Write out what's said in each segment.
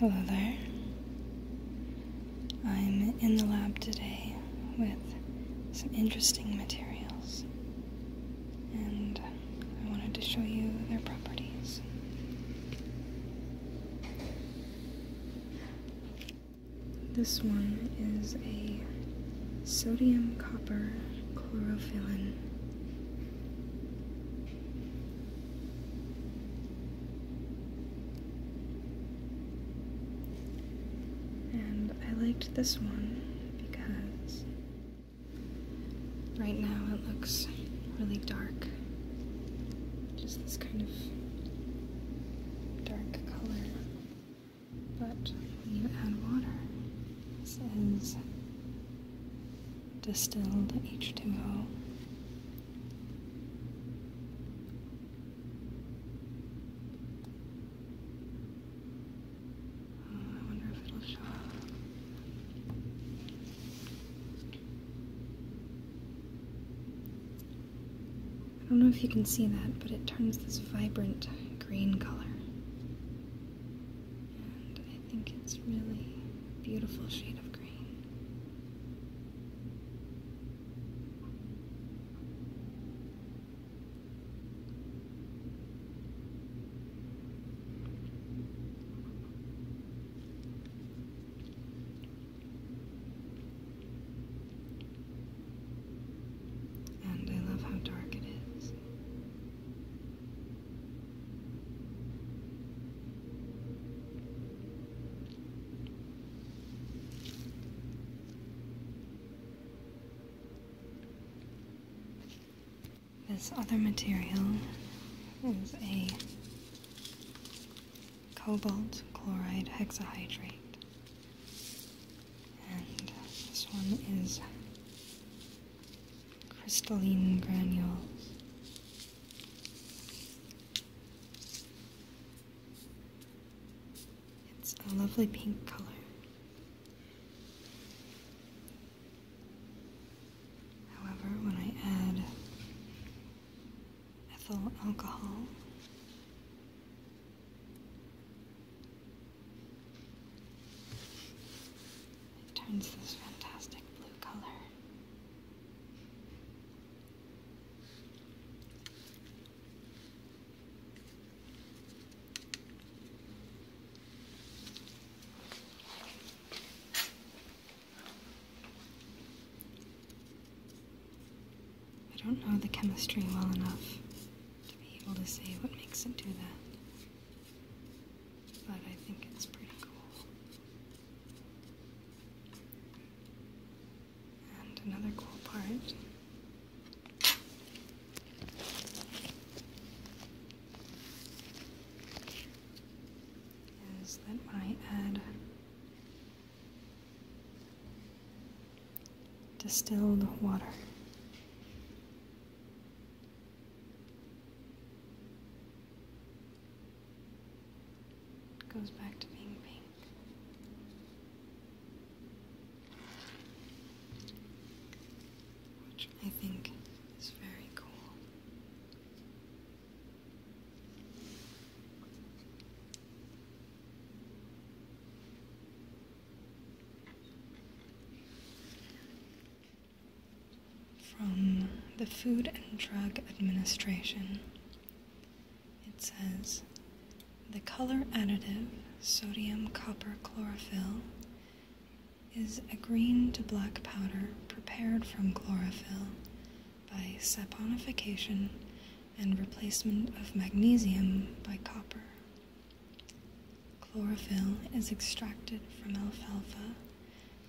Hello there. I'm in the lab today with some interesting materials, and I wanted to show you their properties. This one is a sodium copper chlorophyllin and I liked this one because right now it looks really dark. Just this kind of dark color. But when you add water, this is distilled H2O. Hmm, I don't know if you can see that, but it turns this vibrant green color. And I think it's really beautiful shade of green. And I love how dark it is. This other material is a cobalt chloride hexahydrate. And this one is crystalline granules. It's a lovely pink color. However, when I add ethyl alcohol, it turns this fantastic blue color. I don't know the chemistry well enough to be able to see what makes it do that. But I think it's pretty cool. And another cool part. Is that when I add distilled water goes back to being pink. Which I think is very cool. From the Food and Drug Administration, it says the color additive sodium copper chlorophyll is a green to black powder prepared from chlorophyll by saponification and replacement of magnesium by copper. Chlorophyll is extracted from alfalfa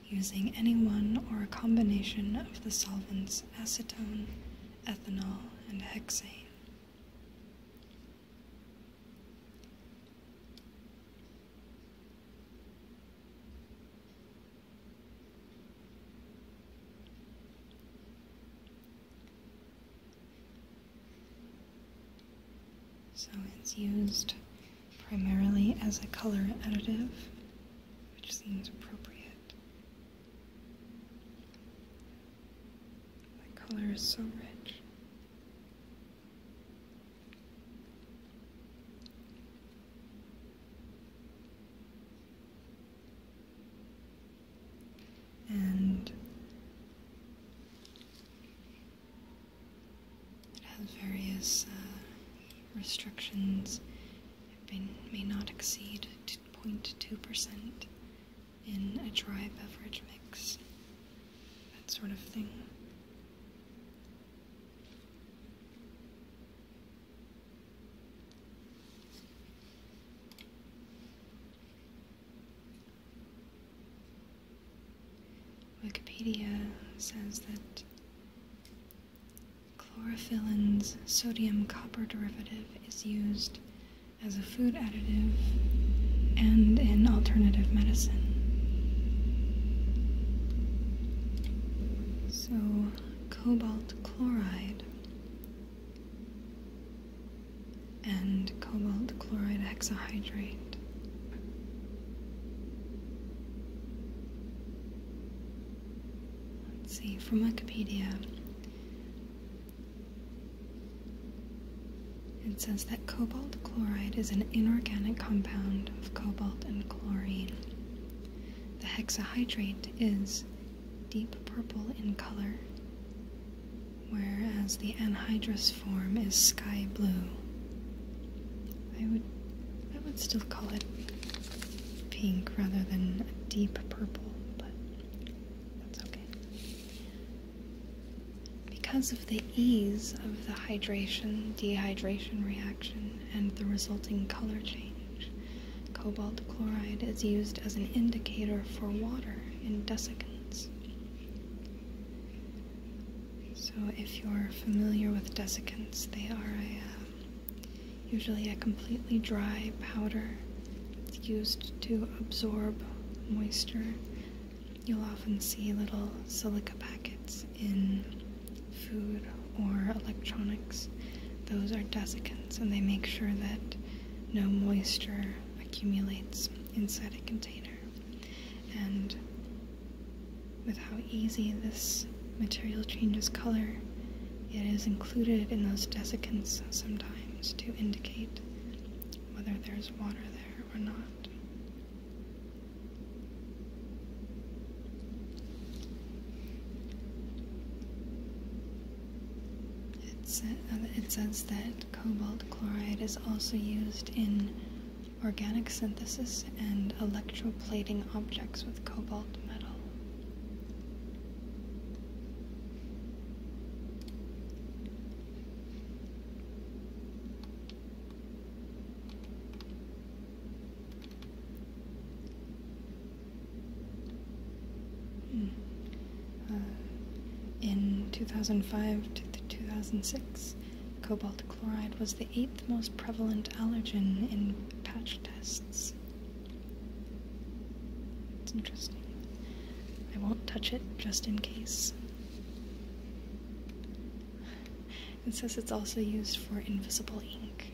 using any one or a combination of the solvents acetone, ethanol, and hexane. So it's used primarily as a color additive, which seems appropriate. The color is so rich and it has various uh, restrictions. It may, may not exceed 0.2% in a dry beverage mix, that sort of thing. Wikipedia says that chlorophyllin's sodium copper derivative is used as a food additive and in alternative medicine. So, cobalt chloride and cobalt chloride hexahydrate. Let's see, from Wikipedia, it says that cobalt chloride is an inorganic compound of cobalt and chlorine. The hexahydrate is deep purple in color, whereas the anhydrous form is sky blue. I would I would still call it pink rather than deep purple, but that's okay. Because of the ease of the hydration dehydration reaction and the resulting color change, Cobalt chloride is used as an indicator for water in desiccants. So, if you're familiar with desiccants, they are uh, usually a completely dry powder. It's used to absorb moisture. You'll often see little silica packets in food or electronics. Those are desiccants, and they make sure that no moisture accumulates inside a container. And with how easy this material changes color, it is included in those desiccants sometimes to indicate whether there's water there or not. It, says that cobalt chloride is also used in organic synthesis and electroplating objects with cobalt metal. Hmm. Uh, in 2005 to 2006, cobalt chloride was the eighth most prevalent allergen in patch tests. It's interesting. I won't touch it just in case. It says it's also used for invisible ink.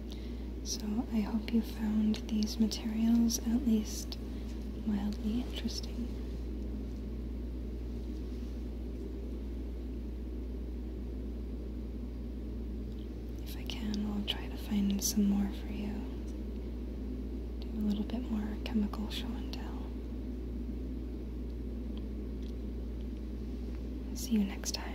So I hope you found these materials at least mildly interesting. If I can, I'll try to find some more for you. Do a little bit more chemical show and tell. See you next time.